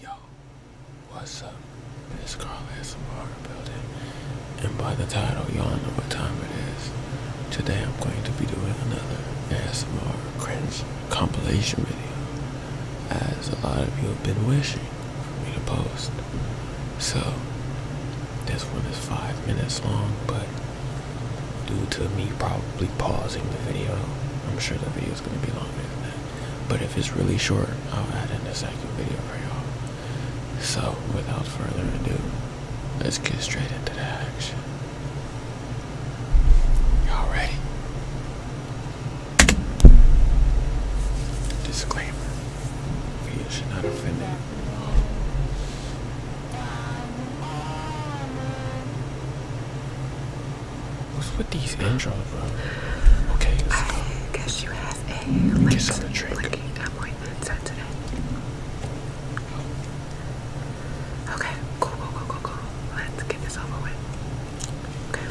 Yo, what's up? This Carl S. building, and by the title, y'all know what time it is. Today, I'm going to be doing another ASMR cringe compilation video, as a lot of you have been wishing for me to post. So this one is five minutes long, but due to me probably pausing the video, I'm sure the video is going to be longer than that. But if it's really short, I'll add in a second video for y'all. So without further ado, let's get straight into the action. Y'all ready? Disclaimer. Video should not offend What's with these intros, bro? Okay. So I guess you have a like blinking appointment set today. Okay, cool, cool, cool, cool, cool. Let's get this over with. Okay.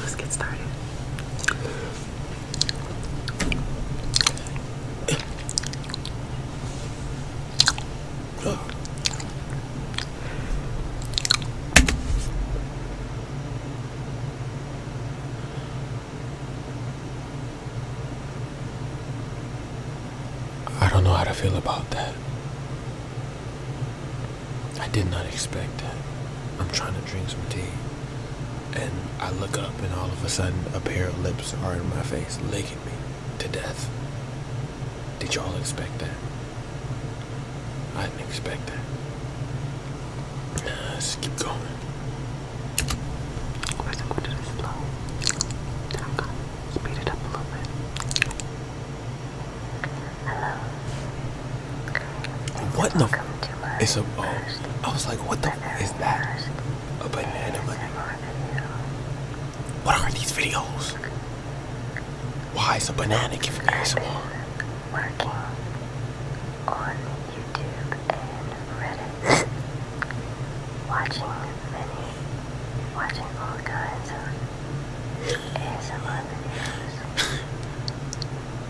Let's get started. I don't know how to feel about that. I did not expect that. I'm trying to drink some tea. And I look up, and all of a sudden, a pair of lips are in my face, licking me to death. Did y'all expect that? I didn't expect that. Let's keep going. I'm going to do slow. Then i speed it up a little bit. What the? It's a. Oh, I was like, what the is that? A banana What are these videos? Why is a banana giving ASMR? Working on YouTube and Reddit. watching many, watching all kinds of ASMR videos.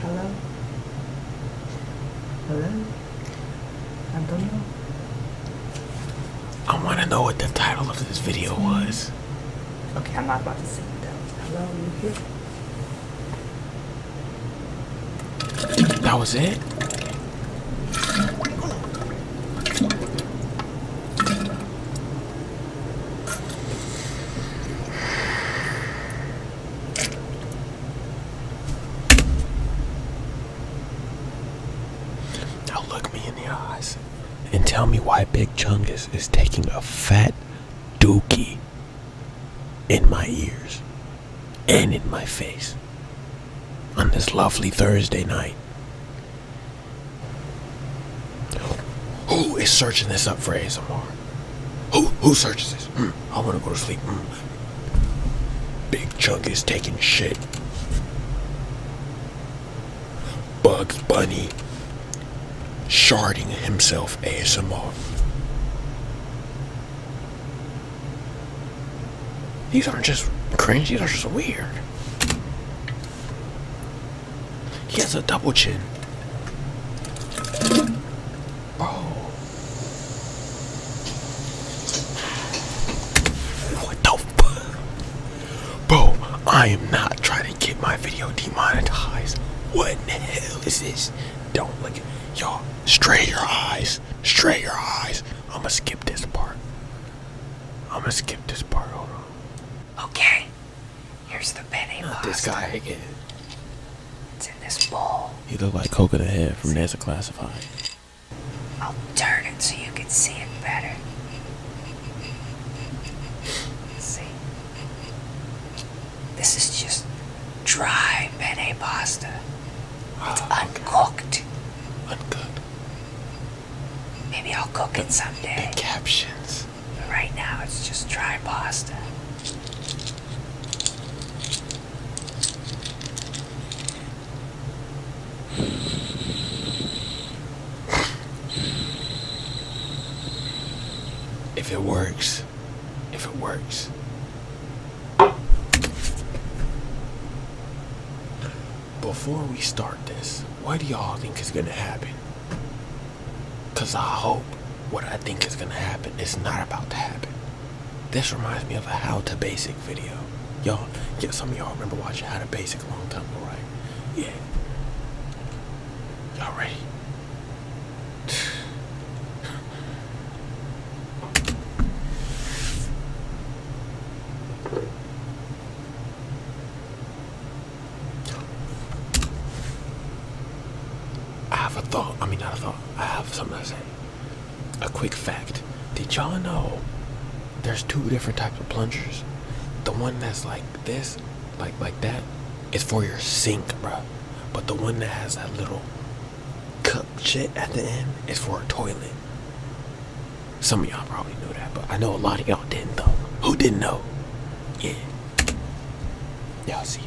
Hello? Hello? Antonio. I want to know what the title of this video mm. was. Okay, I'm not about to say it though. Hello, you here? That was it? Mm. Now look me in the eyes and tell me why Big Chungus is taking a fat dookie in my ears and in my face on this lovely Thursday night. Who is searching this up for ASMR? Who who searches this? Hmm, I want to go to sleep. Hmm. Big Chunk is taking shit. Bugs Bunny sharding himself ASMR. These aren't just cringe, these are just weird. He has a double chin. Oh. What the fuck? Bro, I am not trying to get my video demonetized. What in the hell is this? Don't look y'all. Straight your eyes. Straight your eyes. I'ma skip this part. I'm gonna skip this part. Okay. Here's the penne pasta. This guy again. It's in this bowl. He looked like Coca the Head from NASA Classified. I'll turn it so you can see it better. see? This is just dry penne pasta uncooked. Uncooked. Maybe I'll cook it someday. captions. Right now, it's just dry pasta. If it works, if it works, before we start this, what do y'all think is gonna happen? Cause I hope what I think is gonna happen is not about to happen. This reminds me of a how to basic video. Y'all, yeah, some of y'all remember watching how to basic a long time ago, right? Yeah. Y'all ready? I have a thought. I mean, not a thought. I have something to say. A quick fact. Did y'all know there's two different types of plungers? The one that's like this, like like that, is for your sink, bro. But the one that has that little cup shit at the end is for a toilet. Some of y'all probably knew that, but I know a lot of y'all didn't though. Who didn't know? Yeah. Y'all see it.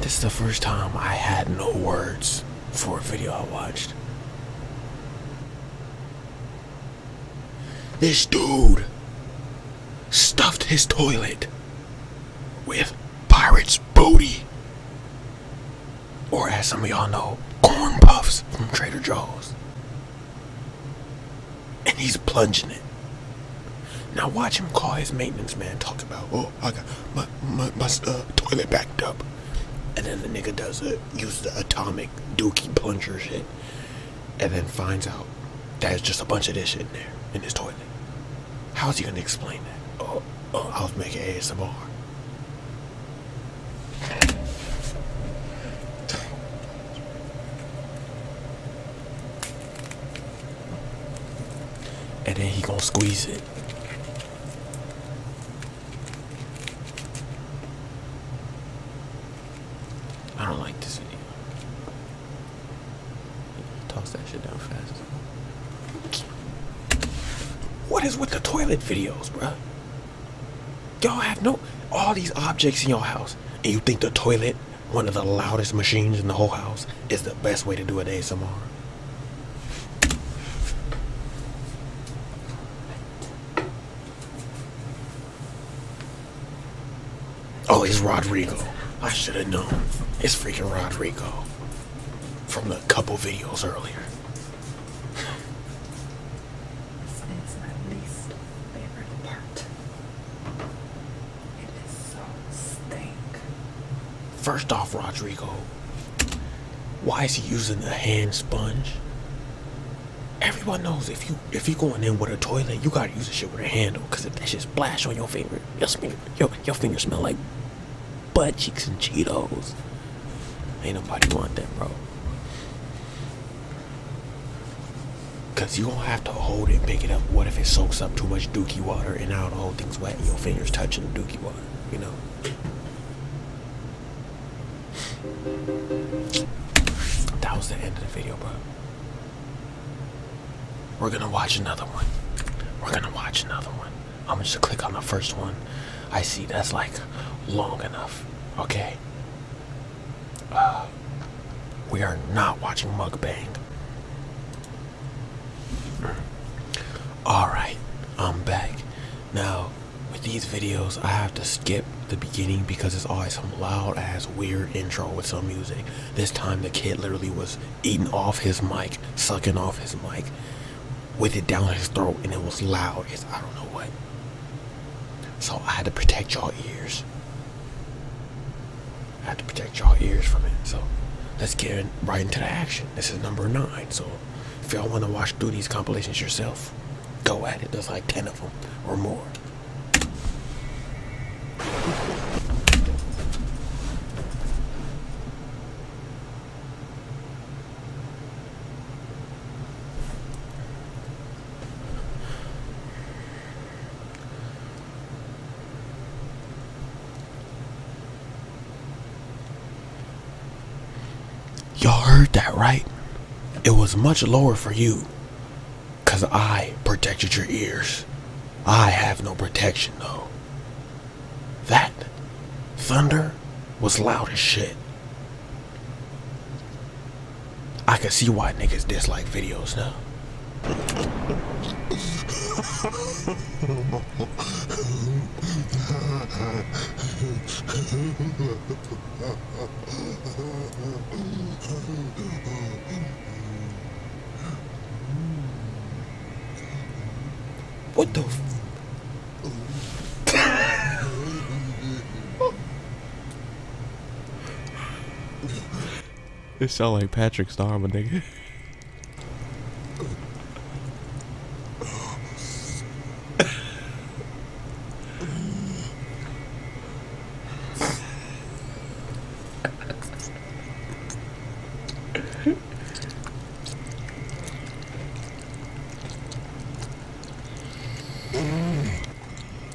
This is the first time I had no words for a video I watched. This dude stuffed his toilet with pirate's booty. Or as some of y'all know, corn puffs from Trader Joe's and he's plunging it. Now watch him call his maintenance man talk about, oh, I got my my, my uh, toilet backed up, and then the nigga does it, use the atomic dookie plunger shit, and then finds out that it's just a bunch of this shit in there in his toilet. How's he gonna explain that? Oh, oh I was making ASMR. And then he gonna squeeze it. I don't like this video. Toss that shit down fast. What is with the toilet videos, bruh? Y'all have no all these objects in your house, and you think the toilet one of the loudest machines in the whole house is the best way to do an ASMR. Oh, it's Rodrigo. I should have known. It's freaking Rodrigo from the couple videos earlier. It's my least favorite part. First off, Rodrigo, why is he using the hand sponge? Everyone knows if you if you going in with a toilet, you gotta use the shit with a handle, cause if that shit splashes on your finger, your finger, your finger smell like butt cheeks and Cheetos. Ain't nobody want that, bro. Cause you gonna have to hold it and pick it up. What if it soaks up too much dookie water and now the whole thing's wet and your fingers touching the dookie water, you know? That was the end of the video, bro. We're gonna watch another one. We're gonna watch another one. I'm gonna click on the first one. I see that's like long enough. Okay. we are not watching mukbang. All right, I'm back. Now, with these videos, I have to skip the beginning because it's always some loud ass weird intro with some music. This time the kid literally was eating off his mic, sucking off his mic with it down his throat and it was loud. as I don't know what. So I had to protect y'all ears. I had to protect y'all ears from it. So let's get right into the action. This is number nine. So if y'all want to watch through these compilations yourself, go at it. There's like 10 of them or more. Y'all heard that, right? It was much lower for you. Because I protected your ears. I have no protection, though. That thunder was loud as shit. I can see why niggas dislike videos now. what the this sound like Patrick Star, my nigga.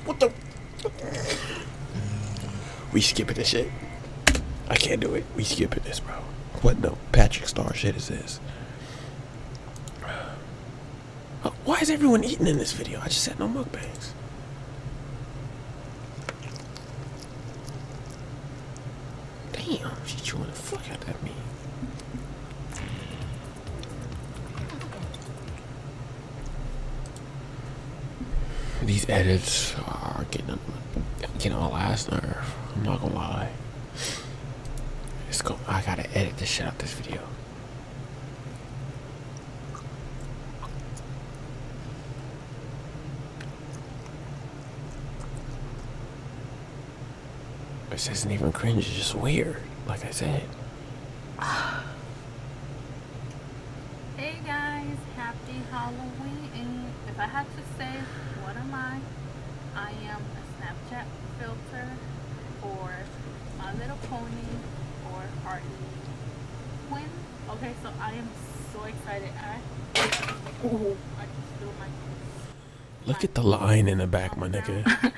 What the? We skipping this shit. I can't do it. We skipping this, bro. What the Patrick Star shit is this? Why is everyone eating in this video? I just said no mukbangs. Damn, she chewing the fuck out of me. These edits are getting getting on my last nerve. I'm not gonna lie. It's go. I gotta edit this shit out this video. This isn't even cringe, it's just weird, like I said. hey guys, happy Halloween. If I had to say, what am I? I am a Snapchat filter or My Little Pony or Hartley Quinn. Okay, so I am so excited. I, just threw my Look at the line in the back, my nigga.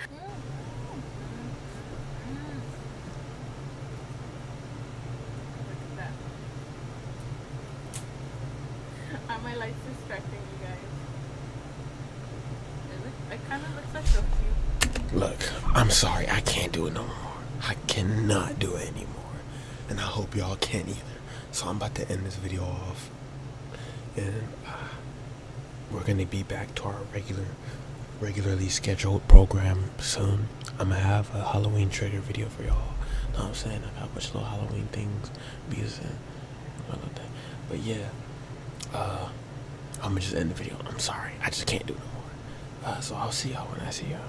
Look, I'm sorry, I can't do it no more. I cannot do it anymore. And I hope y'all can't either. So I'm about to end this video off. And uh, we're gonna be back to our regular, regularly scheduled program soon. I'm gonna have a Halloween trigger video for y'all. Know what I'm saying? I got a bunch of little Halloween things. Because, uh, but yeah, uh, I'm gonna just end the video. I'm sorry, I just can't do it anymore. Uh, so I'll see y'all when I see y'all.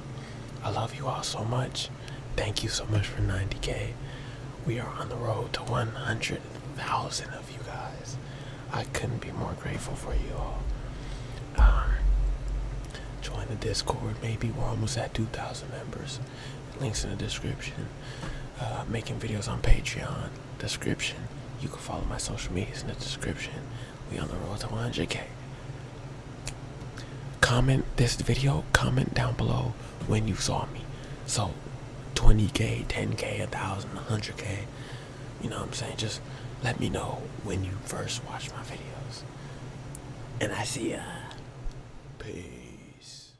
I love you all so much. Thank you so much for 90k. We are on the road to 100,000 of you guys. I couldn't be more grateful for you all. Uh, join the Discord. Maybe we're almost at 2,000 members. Links in the description. Uh, making videos on Patreon. Description. You can follow my social medias in the description. We on the road to 100k comment this video comment down below when you saw me so 20k 10k 1000 100k you know what i'm saying just let me know when you first watch my videos and i see ya peace